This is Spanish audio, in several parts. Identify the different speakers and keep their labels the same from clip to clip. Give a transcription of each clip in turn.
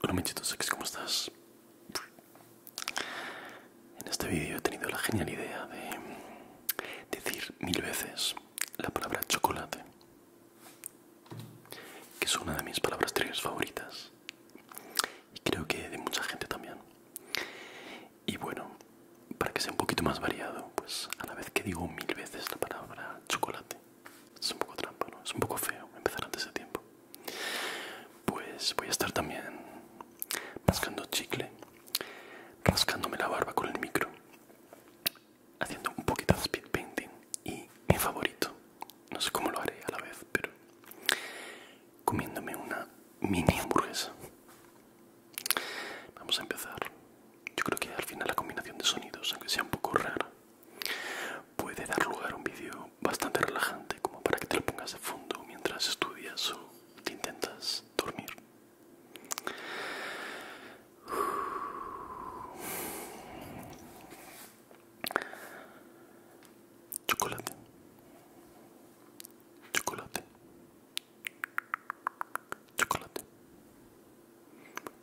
Speaker 1: Hola mechitos ¿cómo estás? En este vídeo he tenido la genial idea de decir mil veces la palabra chocolate, que es una de mis palabras tres favoritas y creo que de mucha gente también. Y bueno, para que sea un poquito más variado, pues a la vez que digo mil veces la palabra chocolate, es un poco trampa, ¿no? Es un poco feo empezar antes de tiempo. Pues voy a estar también mascando chicle, rascándome la barba con el micro, haciendo un poquito de speed painting y mi favorito, no sé cómo lo haré a la vez, pero comiéndome una mini hamburguesa. Vamos a empezar. Yo creo que al final la combinación de sonidos, aunque sea un poco rara, Puede dar lugar a un vídeo bastante relajante como para que te lo pongas de fondo mientras estudias o te intentas dormir. Chocolate. Chocolate. Chocolate.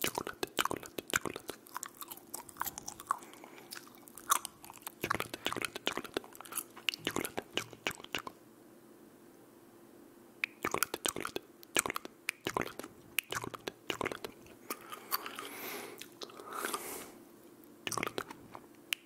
Speaker 1: 초콜릿, 초콜릿, 초콜릿. 초콜릿, 초콜릿, 초콜릿. 초콜릿, 초콜릿, 초콜릿. 초콜릿, 초콜릿, 초콜릿. 초콜릿, 초콜릿, 초콜릿. 초콜릿, 초콜릿, 초콜릿.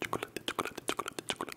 Speaker 1: 초콜릿, 초콜릿, 초콜릿, 초콜릿.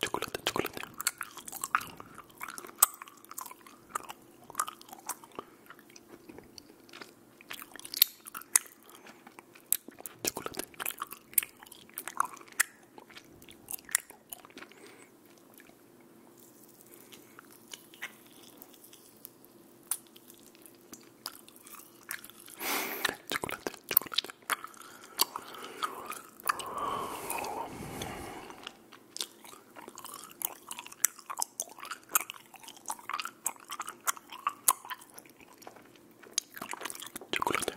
Speaker 1: 초콜릿, 초콜릿. 초콜릿. 초콜릿, 초콜릿. 초콜릿.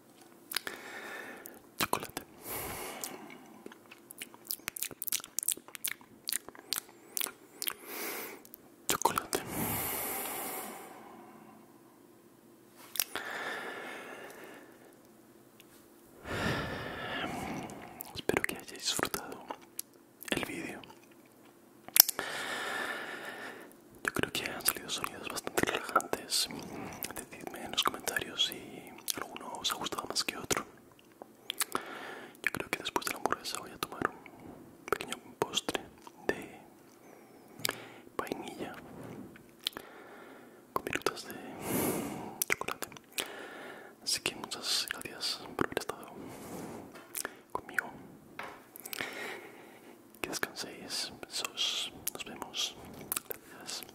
Speaker 1: Chocolate. Chocolate. Espero que hayáis disfrutado el vídeo. Yo creo que han salido sonidos bastante relajantes decidme en los comentarios si alguno os ha gustado más que otro. Yo creo que después de la hamburguesa voy a tomar un pequeño postre de vainilla con virutas de chocolate. Así que muchas gracias por haber estado conmigo. Que descanséis. Besos. Nos vemos. Gracias.